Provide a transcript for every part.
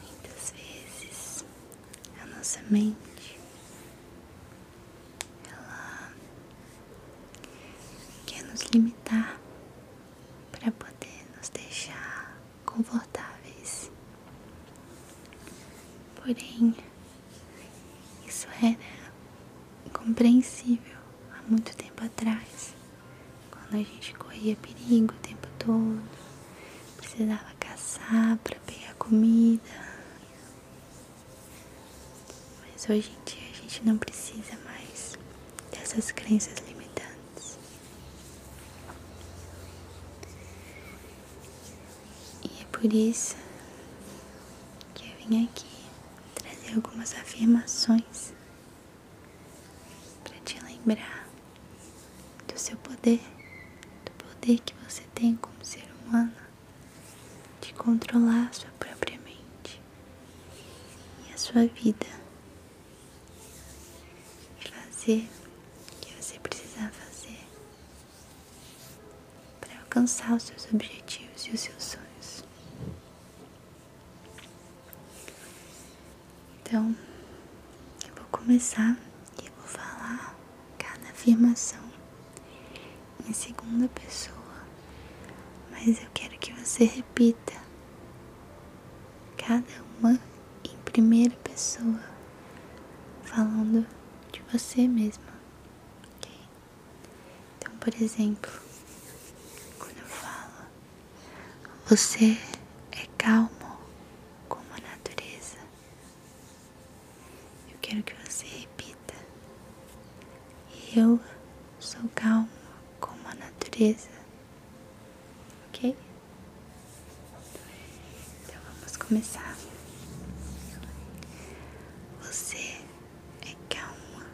Muitas vezes a nossa mente ela quer nos limitar para poder nos deixar confortáveis. Porém, isso era compreensível há muito tempo atrás, quando a gente corria perigo o tempo todo, precisava caçar para pegar comida. Mas hoje em dia a gente não precisa mais dessas crenças limitantes. E é por isso que eu vim aqui trazer algumas afirmações para te lembrar do seu poder, do poder que você tem como ser humano de controlar a sua própria mente e a sua vida. Fazer o que você precisar fazer para alcançar os seus objetivos e os seus sonhos. Então, eu vou começar e vou falar cada afirmação em segunda pessoa, mas eu quero que você repita cada uma em primeira pessoa, falando de você mesma, ok? Então, por exemplo, quando eu falo, você é calmo como a natureza, eu quero que você repita: Eu sou calmo como a natureza, ok? Então, vamos começar. Você é calma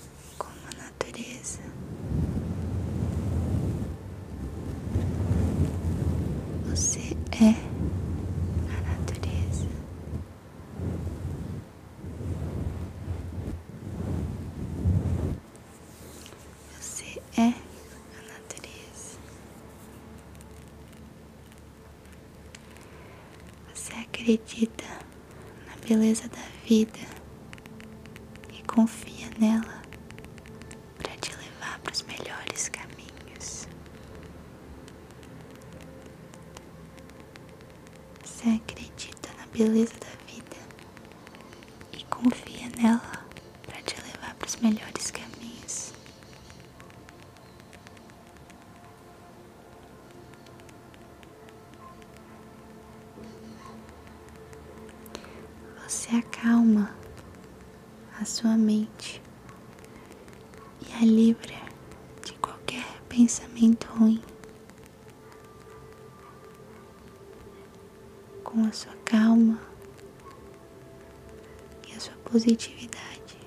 é como a natureza. Você é a natureza. Você é a natureza. Você acredita na beleza da vida e confia nela para te levar para os melhores caminhos. Você acredita na beleza da vida e confia nela para te levar para os melhores caminhos. Você acalma a sua mente e a é livre de qualquer pensamento ruim. Com a sua calma e a sua positividade,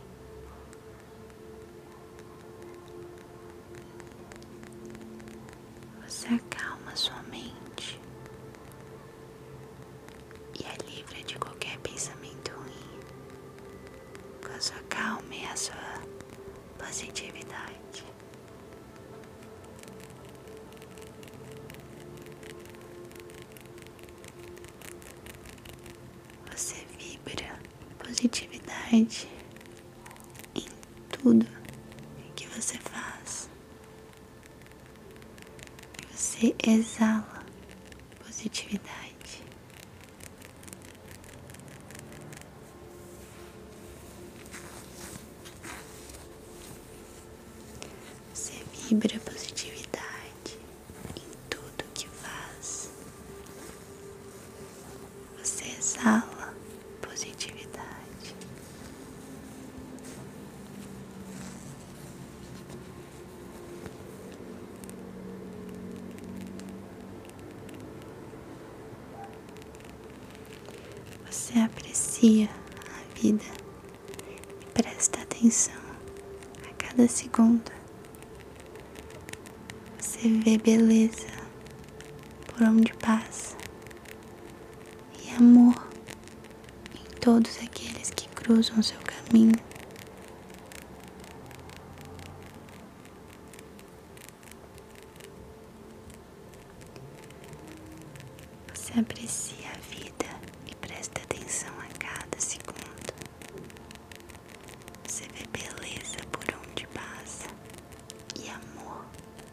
você acalma sua mente e é livre de qualquer pensamento ruim. Com a sua calma e a sua positividade. Você vibra positividade em tudo que você faz. Você exala positividade. Você vibra positividade tudo que faz. Você exala positividade. Você aprecia a vida e presta atenção a cada segundo. Você vê beleza por onde passa e amor em todos aqueles que cruzam seu caminho. Você aprecia a vida e presta atenção a cada segundo. Você vê beleza por onde passa e amor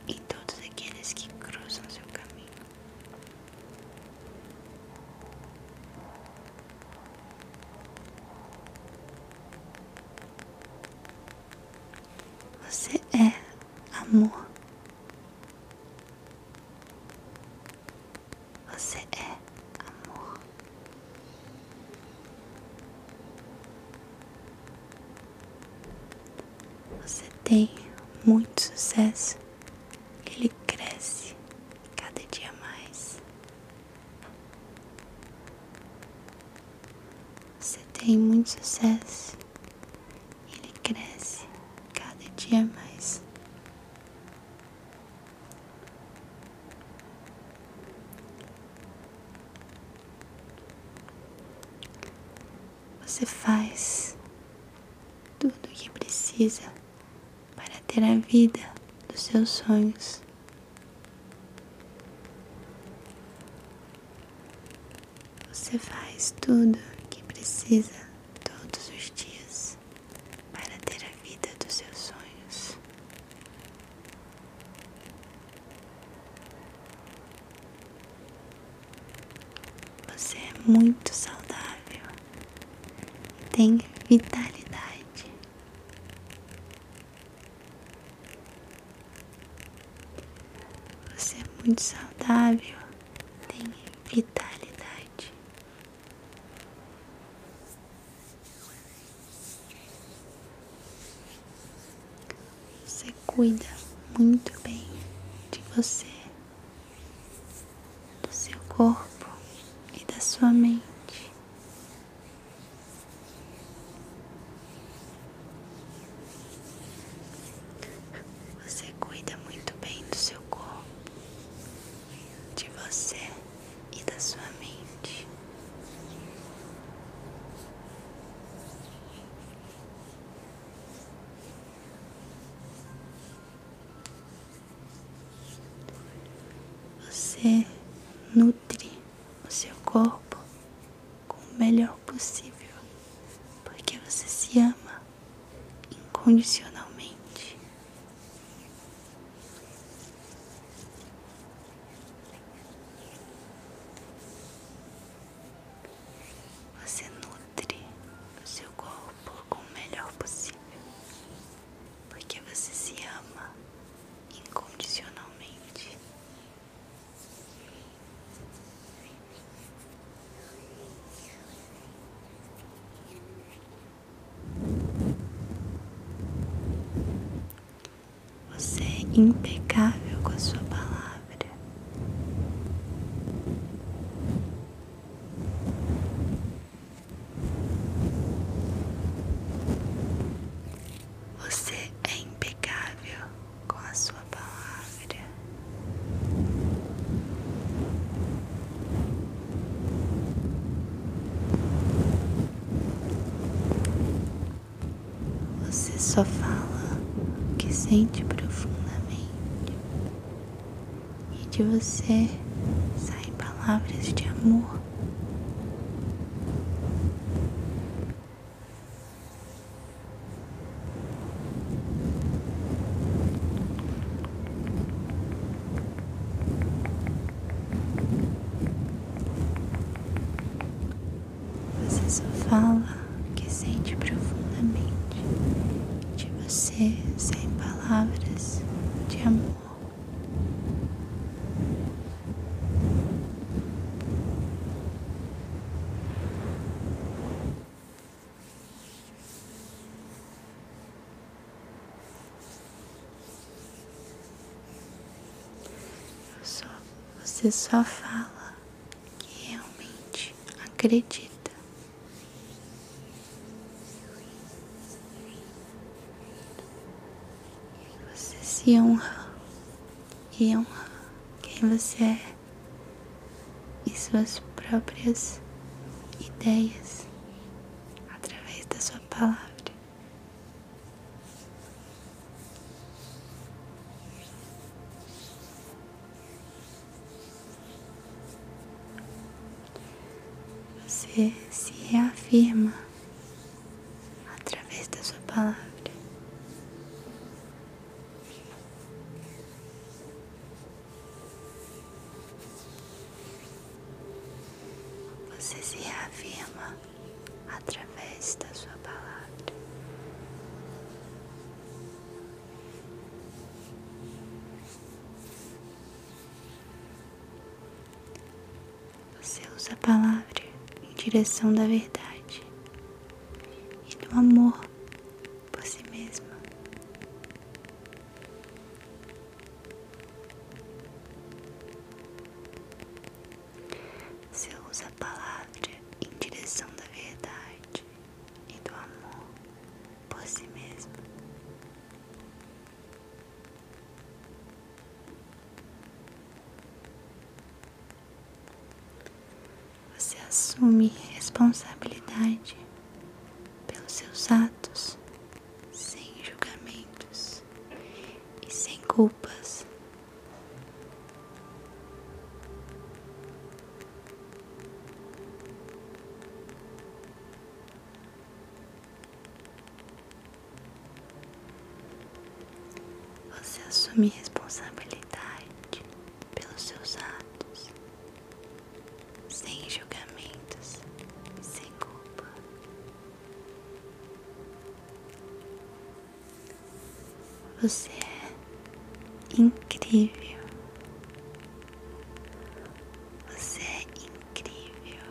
em todos aqueles que cruzam seu caminho. Você é amor. Você é amor. Você tem muito sucesso. Ele cresce cada dia mais. Você tem muito sucesso. Ele cresce cada dia mais. Você faz tudo o que precisa para ter a vida dos seus sonhos. Você faz tudo o que precisa todos os dias para ter a vida dos seus sonhos. Você é muito saudável e tem vitalidade. Você é muito saudável, tem vitalidade. Você cuida muito bem de você, do seu corpo e da sua mente. Você cuida muito bem do seu corpo, de você e da sua mente. Você nutre o seu corpo com o melhor possível, porque você se ama incondicionalmente. Você nutre o seu corpo com o melhor possível, porque você se ama incondicionalmente. Você é impecável com a sua palavra. Você é impecável com a sua palavra. Você só fala o que sente profundamente e de você saem palavras de amor. Você só fala que sente profundamente. De você sem palavras de amor. Só, você só fala que realmente acredita. Você se honra e honra quem você é e suas próprias ideias através da sua palavra. Você se reafirma através da sua palavra. Você se reafirma através da Sua palavra. Você usa a palavra em direção da verdade e do amor por si mesma. Você usa a palavra em direção da verdade e do amor por si mesmo. Você assume responsabilidade pelos seus atos sem julgamentos e sem culpas. Você assume responsabilidade pelos seus atos, sem julgamentos, sem culpa. Você é incrível. Você é incrível.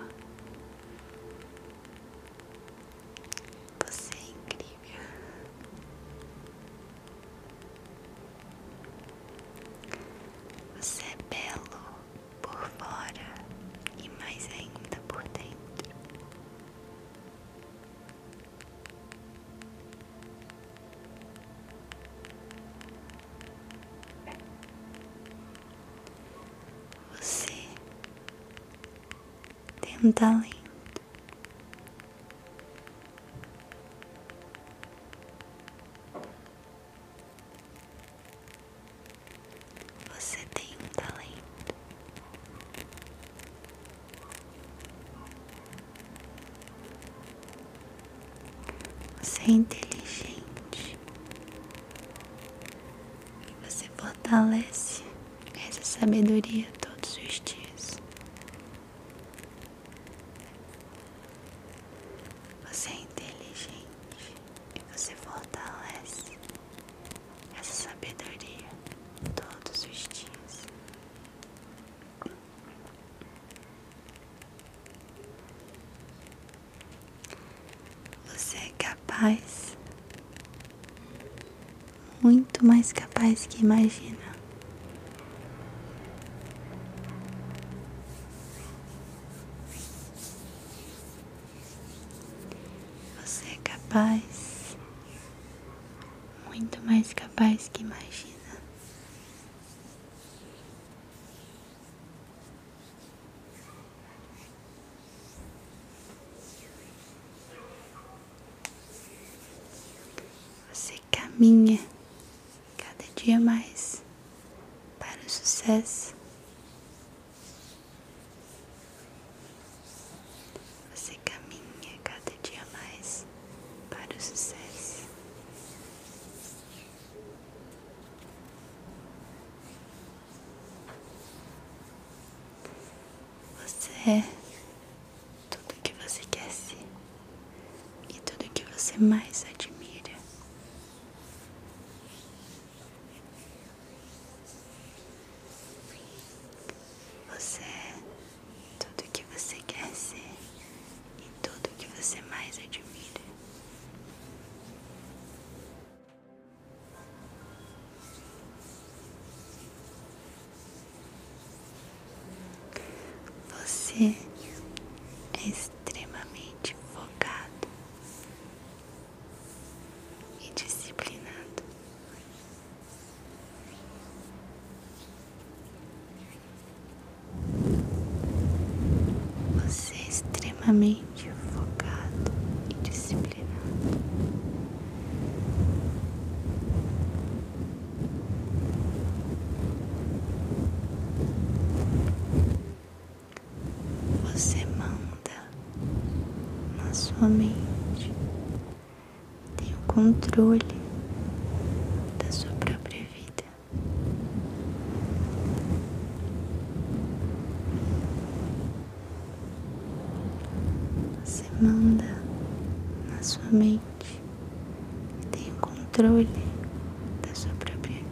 Você é incrível. Você é belo por fora e mais ainda por dentro. Você tem um talento. Você tem um talento. Você é inteligente. E você fortalece essa sabedoria todos os dias. Você é inteligente e você fortalece essa sabedoria todos os dias. Você é capaz, muito mais capaz que imagina. Você é capaz, muito mais capaz que imagina. Você caminha cada dia mais para o sucesso. Você caminha cada dia mais para o sucesso. Você é tudo que você quer e tudo que você mais admira. Você é tudo que você quer ser e tudo que você mais admira. Você é extremamente focado e disciplinado. Você é extremamente focado e disciplinado. Você é manda onda na sua mente. Tem o controle da sua própria vida. Você manda na sua mente. Tem o controle da sua própria vida.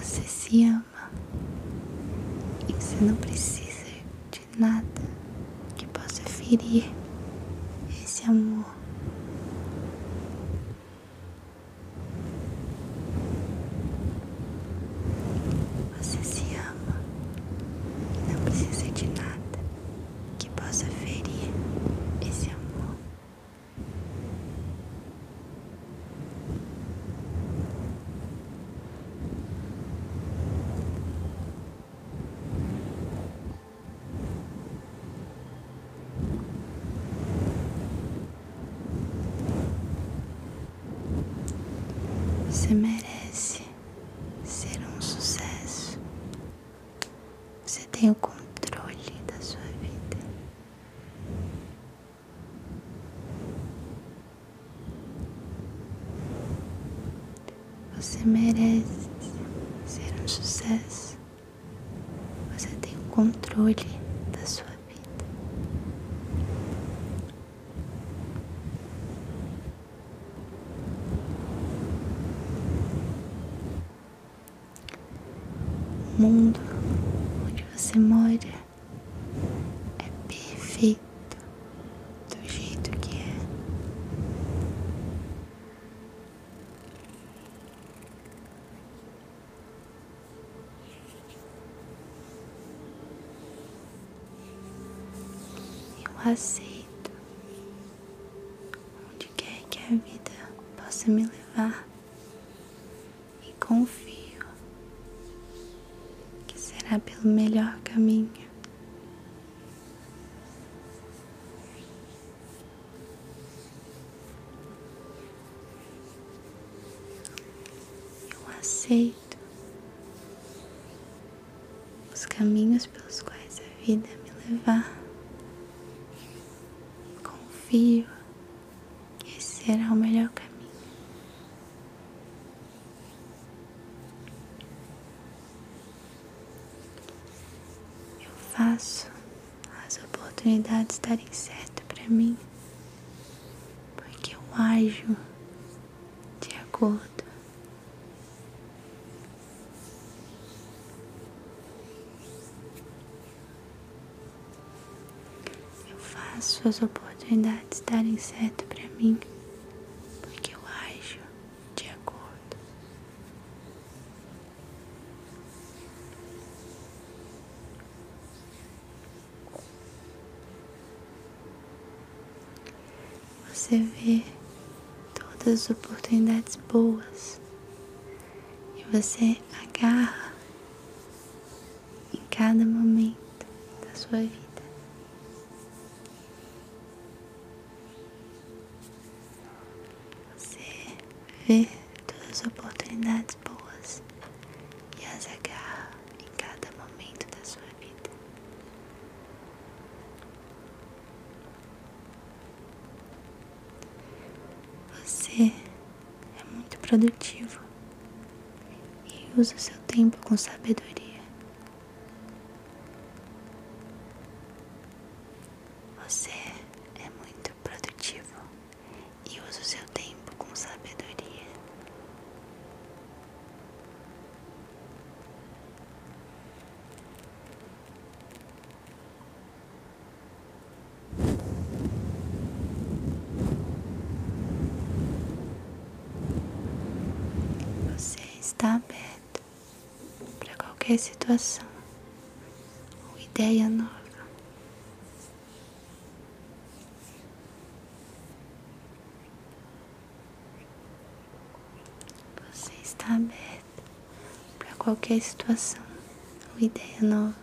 Você se ama e você não precisa de nada que possa ferir esse amor. Você se ama. Não precisa de nada que possa ferir esse amor. Você merece ser um sucesso. Você tem o controle da sua vida. Você merece ser um sucesso. Você tem o controle da sua vida. O mundo onde você mora é perfeito do jeito que é. Eu aceito onde quer que a vida possa me levar e confio que será pelo melhor caminho. Eu aceito os caminhos pelos quais a vida me levar. Confio que esse será o melhor caminho. Eu faço as oportunidades darem certo para mim, porque eu ajo de acordo eu faço as oportunidades darem certo para mim porque eu acho de acordo você vê todas as oportunidades boas e você agarra em cada momento da sua vida. Você vê todas as oportunidades boas e as agarra em cada momento da sua vida. Você é muito produtivo e usa seu tempo com sabedoria. Você é muito produtivo e usa seu tempo com sabedoria. Você está aberto para qualquer situação ou ideia nova. Você está aberto para qualquer situação ou ideia nova.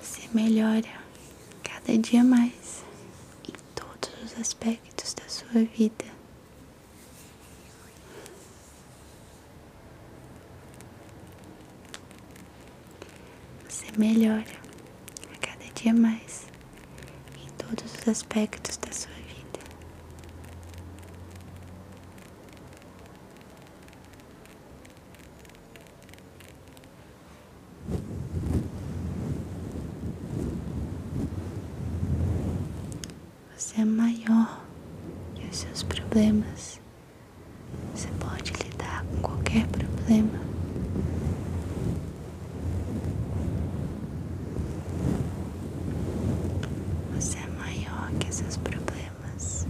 Você melhora cada dia mais em todos os aspectos da sua vida. Você melhora a cada dia mais em todos os aspectos da sua vida. Você é maior que os seus problemas. Você pode lidar com qualquer problema. Você é maior que esses problemas.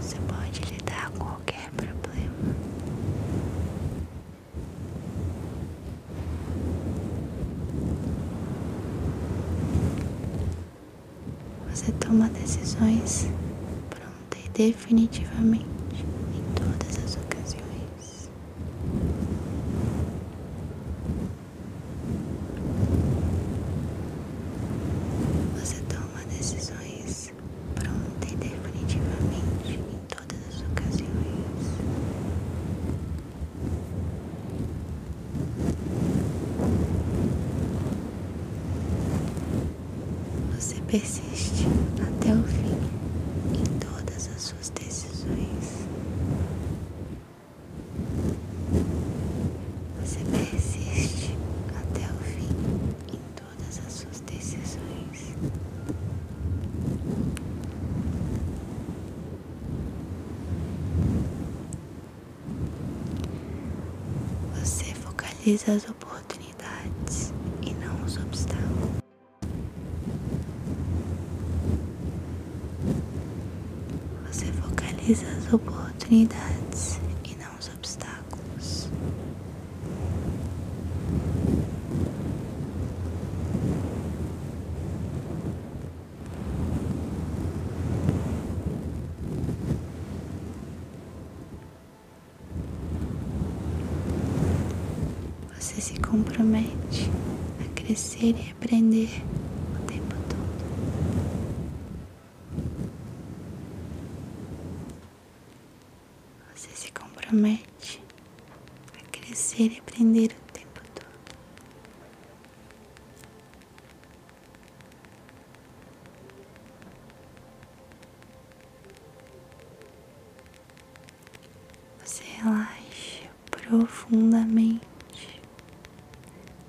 Você pode lidar com qualquer problema. Você toma decisões pronta e definitivamente em todas as ocasiões. Você toma decisões pronta e definitivamente em todas as ocasiões. Você persiste até o fim em todas as suas decisões. Você persiste até o fim em todas as suas decisões. Você focaliza as oportunidades e não os obstáculos. Você focaliza as oportunidades e não os obstáculos. Você se compromete a crescer e aprender o tempo todo. Você se compromete a crescer e aprender o tempo todo. Você relaxa profundamente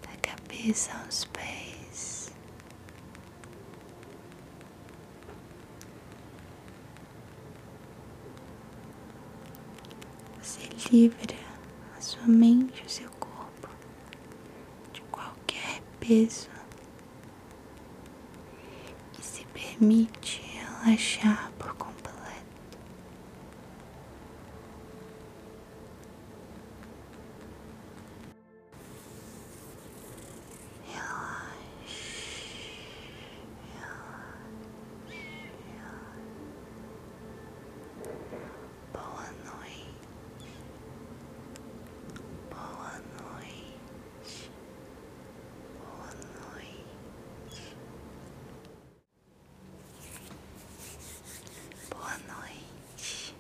da cabeça aos pés. Você livra a sua mente, o seu corpo de qualquer peso e se permite relaxar por completo. Boa noite. Boa noite. Boa noite. Boa noite. Boa noite.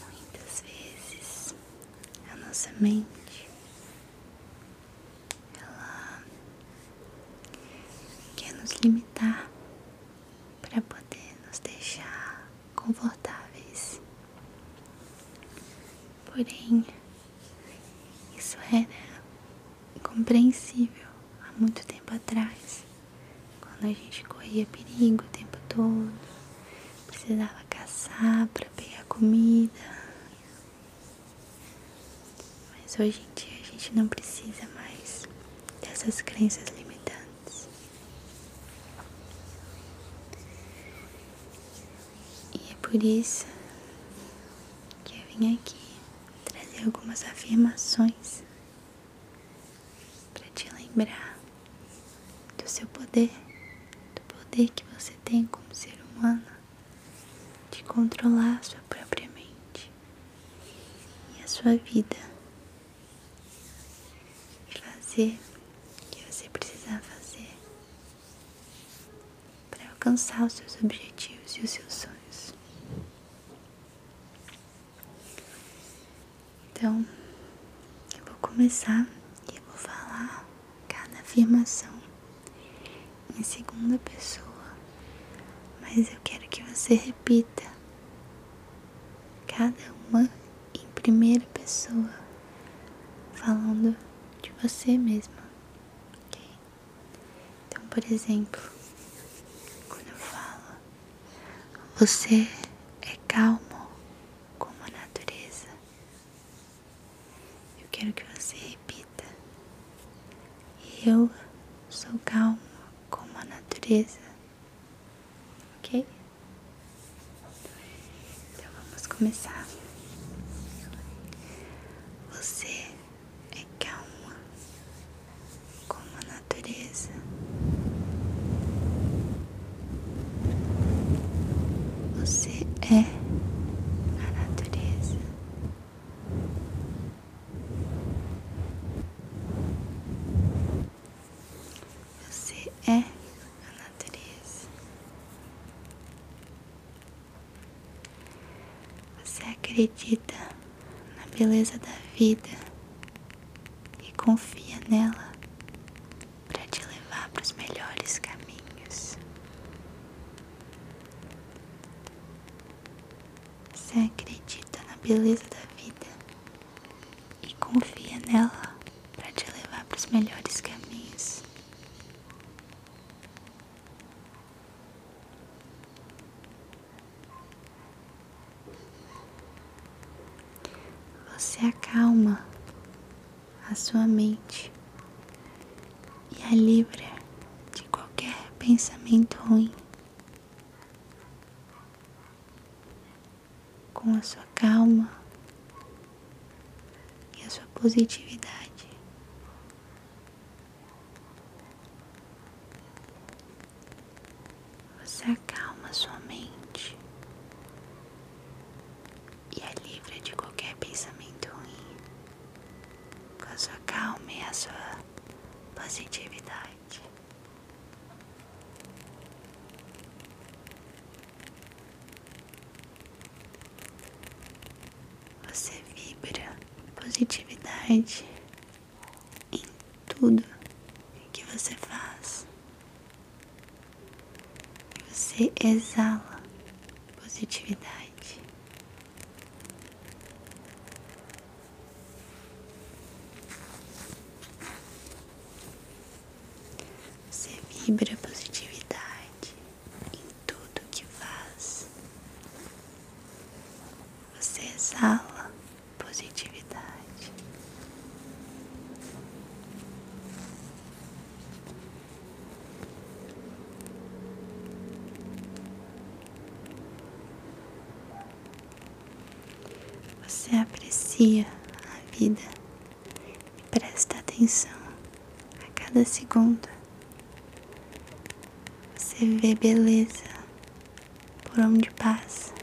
Muitas vezes a nossa mente ela quer nos limitar para poder nos deixar confortáveis. Porém, isso era compreensível há muito tempo atrás, quando a gente corria perigo o tempo todo, precisava ela caçar para pegar comida. Mas hoje em dia a gente não precisa mais dessas crenças limitantes. E é por isso que eu vim aqui trazer algumas afirmações para te lembrar do seu poder, do poder que você tem como ser humano de controlar a sua própria mente e a sua vida e fazer o que você precisar fazer para alcançar os seus objetivos e os seus sonhos. Então, eu vou começar e vou falar cada afirmação em segunda pessoa, mas eu quero que você repita cada uma em primeira pessoa, falando de você mesma, ok? Então, por exemplo, quando eu falo, você é calmo como a natureza, eu quero que você repita. Eu sou calmo como a natureza. Ok? Então vamos começar. Você é calma como a natureza. Você é a natureza. Você é a natureza. Você acredita na beleza da vida e confia nela para te levar para os melhores caminhos. Você acredita na beleza da vida e confia nela para te levar para os melhores caminhos. Você acalma a sua mente e a é livra de qualquer pensamento ruim. Com a sua calma e a sua positividade. Você acalma sua mente e é livre de qualquer pensamento ruim, com a sua calma e a sua positividade. Você vibra positividade em tudo que você faz. Você exala positividade. Você vibra positividade em tudo que faz. Você exala positividade. Você aprecia a vida e presta atenção a cada segundo. Você vê beleza por onde passa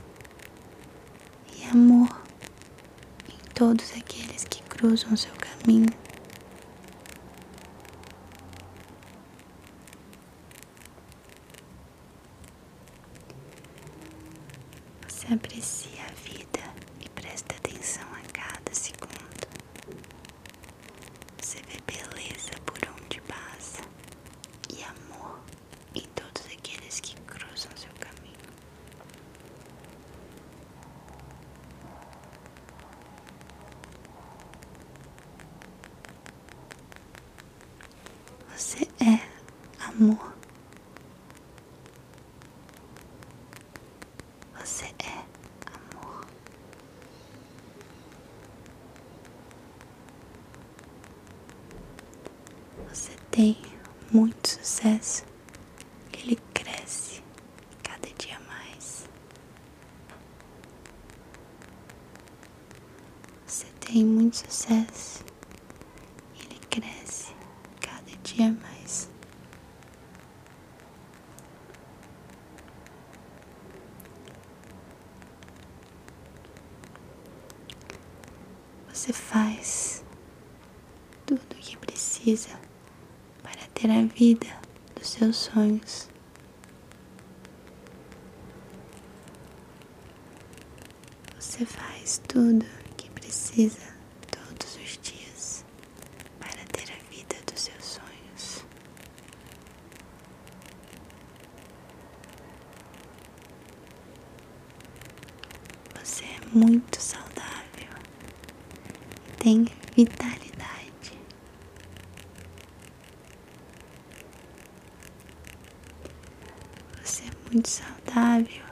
e amor em todos aqueles que cruzam seu caminho. Você aprecia a vida e presta atenção a cada segundo. Você vê beleza por onde passa e amor em todos aqueles que cruzam seu caminho. Você é amor. Você é amor. Você tem muito sucesso ele cresce cada dia mais. Você tem muito sucesso, ele cresce cada dia mais. Você faz tudo o que precisa para ter a vida dos seus sonhos. Você faz tudo que precisa todos os dias para ter a vida dos seus sonhos. Você é muito saudável tem vitalidade. Você é muito saudável.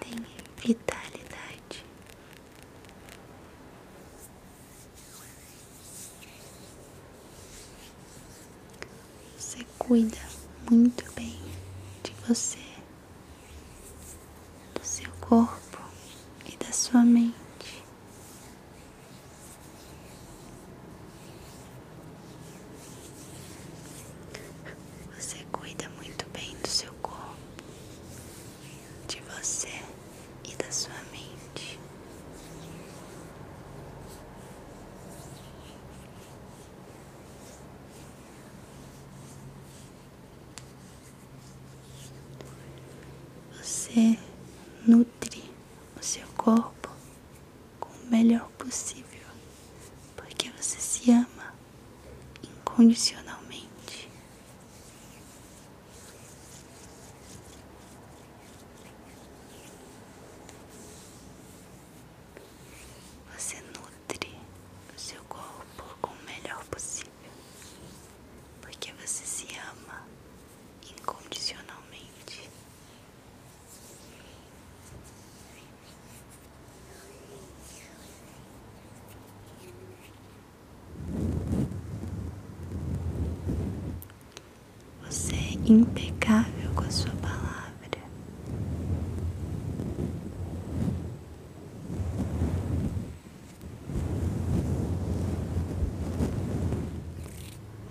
Tem vitalidade. Você cuida muito bem de você do seu corpo e da sua mente. Você cuida muito bem do seu corpo, de você e da sua mente. Você nutre o seu corpo com o melhor possível, porque você se ama incondicionalmente. Você nutre nutre o seu corpo com o melhor possível, porque você se ama incondicionalmente. Você é impecável com a sua palavra.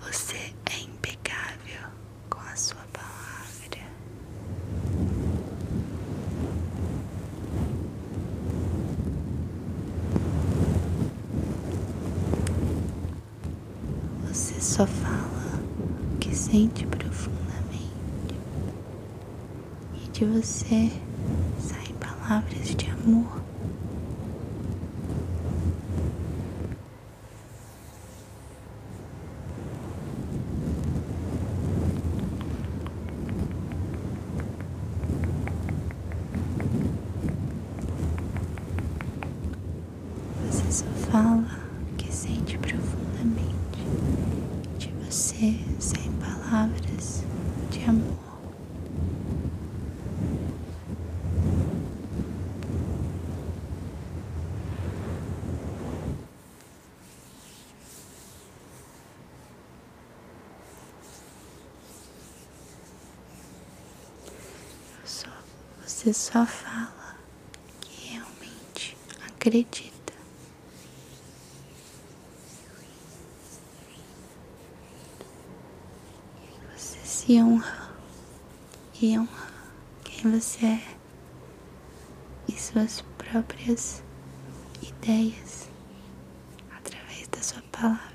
Você é impecável com a sua palavra. Você só fala o que sente profundamente e de você saem palavras de amor. Você só fala que sente profundamente de você você sem palavras de amor. Só, você só fala que realmente acredita. Você se honra e honra quem você é e suas próprias ideias através da sua palavra.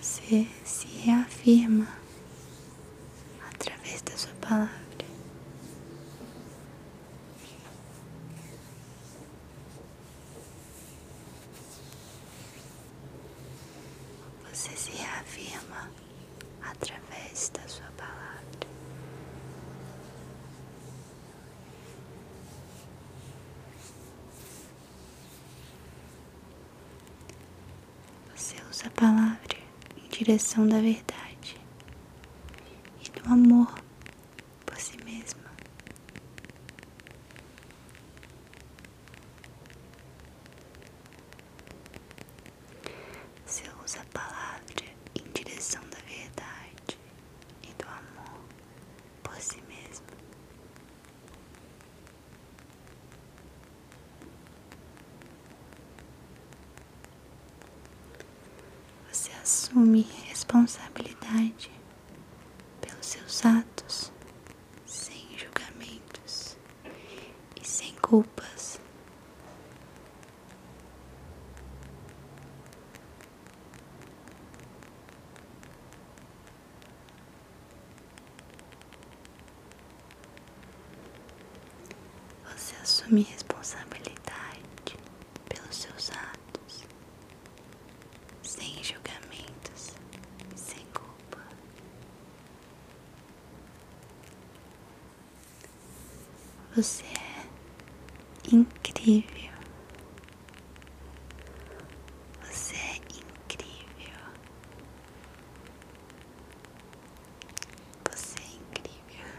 Você se afirma através da sua palavra. Você se afirma através da sua palavra. Você usa a palavra em direção da verdade e do amor por si mesma. Você usa a palavra em direção da verdade e do amor por si mesma. Você assume responsabilidade pelos seus atos sem julgamentos e sem culpas. Você assume responsabilidade pelos seus atos, sem julgamentos, sem culpa. Você é incrível. Você é incrível. Você é incrível.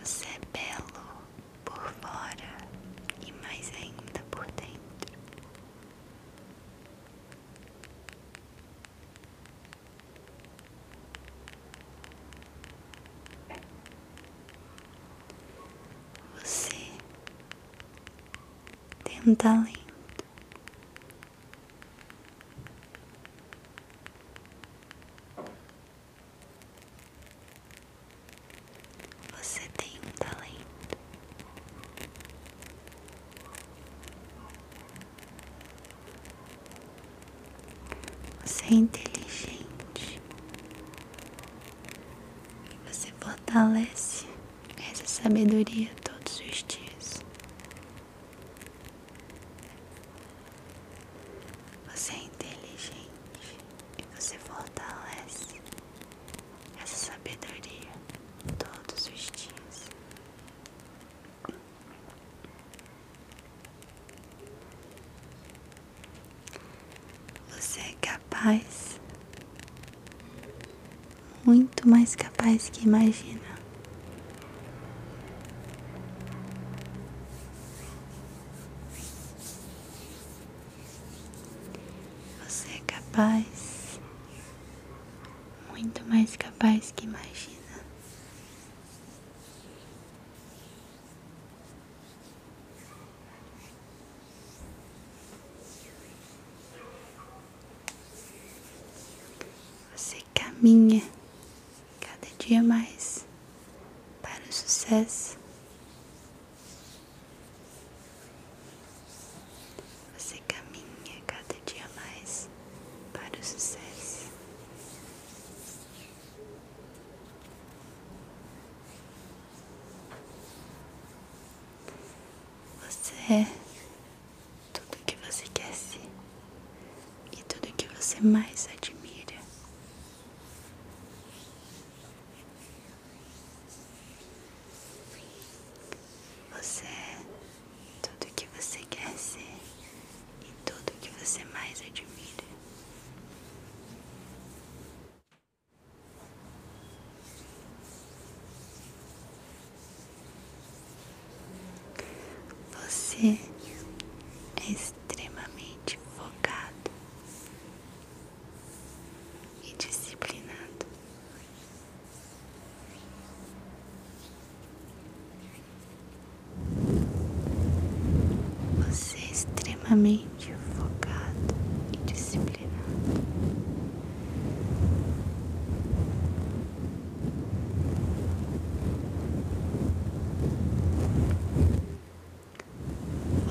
Você é belo por fora e mais ainda por dentro. Você tem um talento. Você tem um talento. Você é inteligente. E você fortalece essa sabedoria todos os dias. Você é inteligente e você fortalece essa sabedoria todos os dias. Você é capaz, muito mais capaz que imagina. Você é capaz, muito mais capaz que imagina. Você caminha cada dia mais para o sucesso. Você caminha cada dia mais para o sucesso. Você é tudo que você quer ser e tudo que você mais admira. Você é tudo que você quer ser e tudo o que você mais admira. Você é extremamente focado e disciplinado. Você é extremamente focado e disciplinado.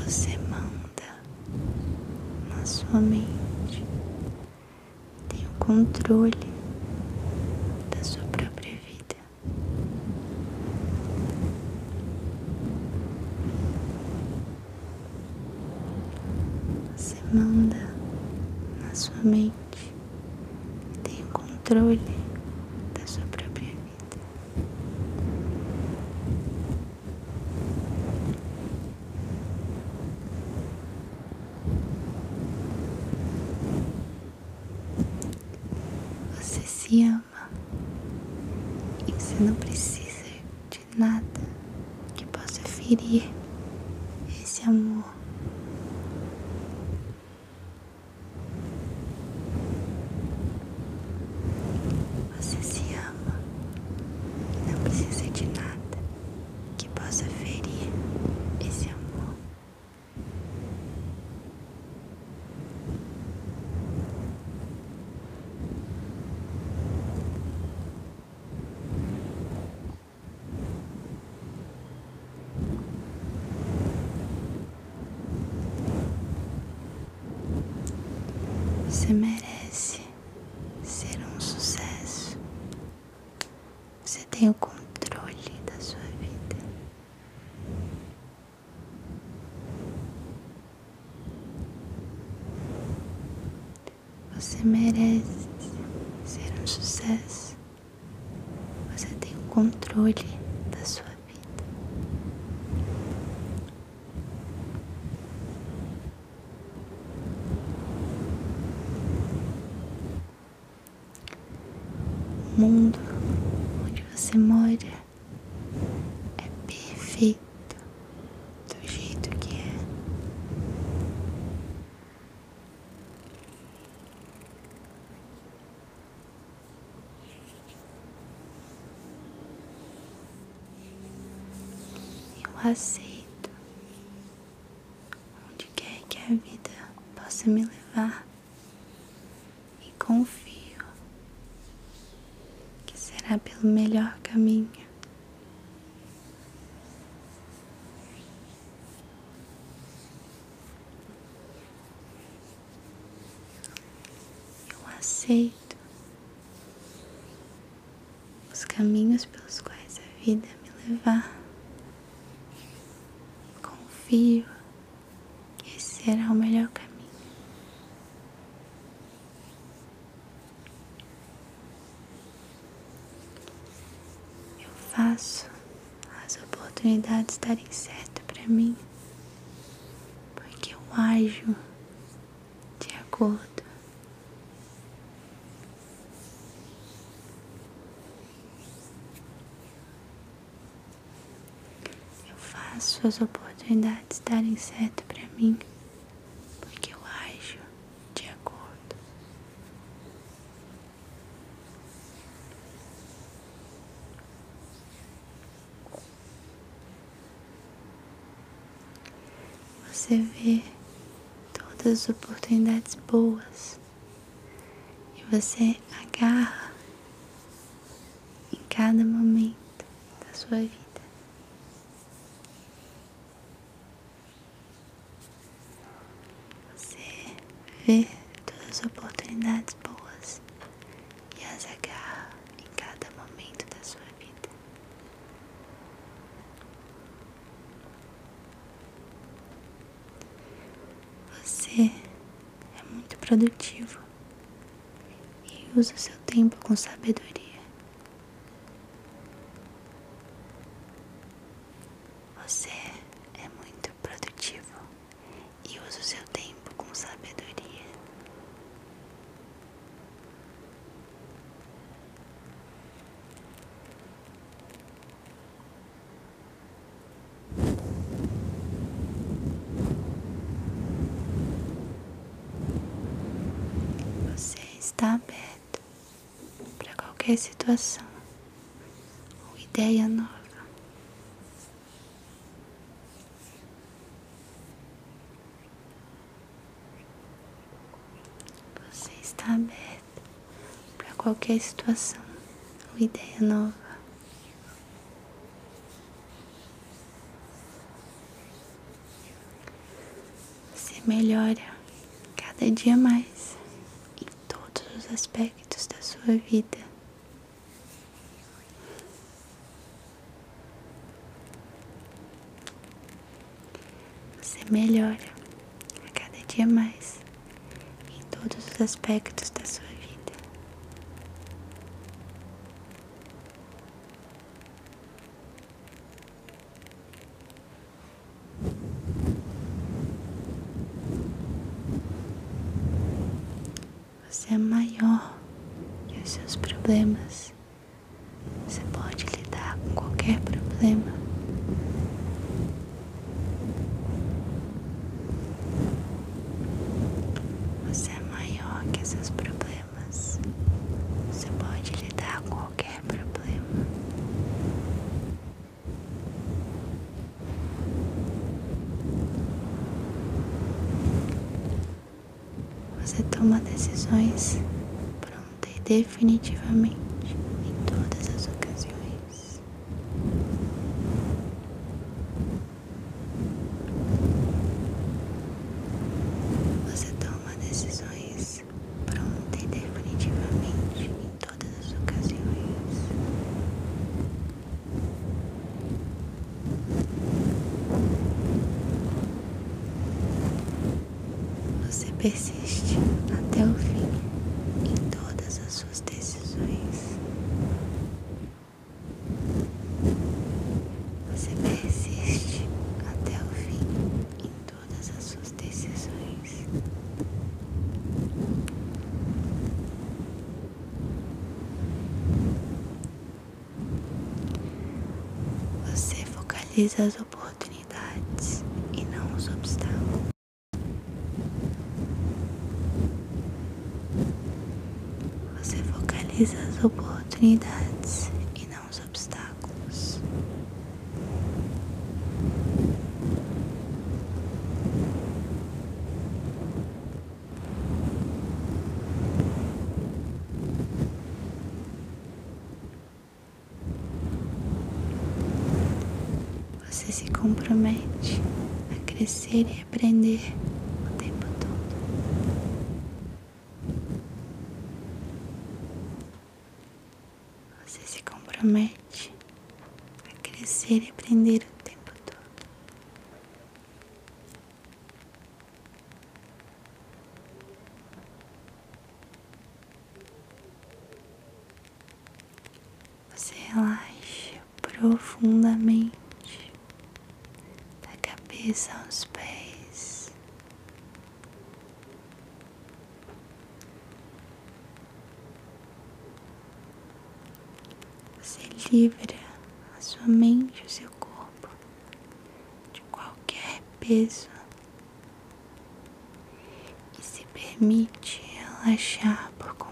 Você manda na sua mente, tem o controle da sua própria vida. Você manda na sua mente e tem o controle da sua própria vida. Você se ama e você não precisa de nada que possa ferir esse amor. Você se ama e não precisa de nada que possa ferir esse amor. Você merece ser um sucesso. Você tem o controle da sua vida. Você merece ser um sucesso. Você tem o controle da sua vida. O mundo onde você mora é perfeito do jeito que é. Eu aceito onde quer que a vida possa me levar e confio que será pelo melhor caminho. Eu aceito os caminhos pelos quais a vida me levar. Confio esse será o melhor caminho. Eu faço as oportunidades darem certo para mim, porque eu ajo de acordo. Eu faço as oportunidades darem certo para mim, porque eu acho de acordo. Você vê todas as oportunidades boas e você agarra em cada momento da sua vida. Você vê todas as oportunidades boas e as agarra em cada momento da sua vida. Você é muito produtivo e usa seu tempo com sabedoria. Você é muito produtivo e usa o seu tempo com sabedoria. Você está aberto para qualquer situação ou ideia nova. Você está aberto para qualquer situação ou ideia nova. Você melhora cada dia mais em todos os aspectos da sua vida. Você melhora cada dia mais em todos os aspectos da sua vida. Você é maior e os seus problemas. Você pode lidar com qualquer problema. Você é maior que seus problemas. Você pode lidar com qualquer problema. Você toma decisões pronta e definitivamente em todas as ocasiões. Você toma decisões pronta e definitivamente em todas as ocasiões. Você persiste até o fim em todas as suas decisões. Você persiste até o fim em todas as suas decisões. Você focaliza as oportunidades e não os obstáculos. Você focaliza as oportunidades e não os obstáculos. Você se compromete a crescer repreender o tempo todo. Você se compromete a crescer e aprender o tempo todo. Você relaxa profundamente da cabeça aos pés. Você livra a sua mente, o seu corpo de qualquer peso e se permite relaxar por completo.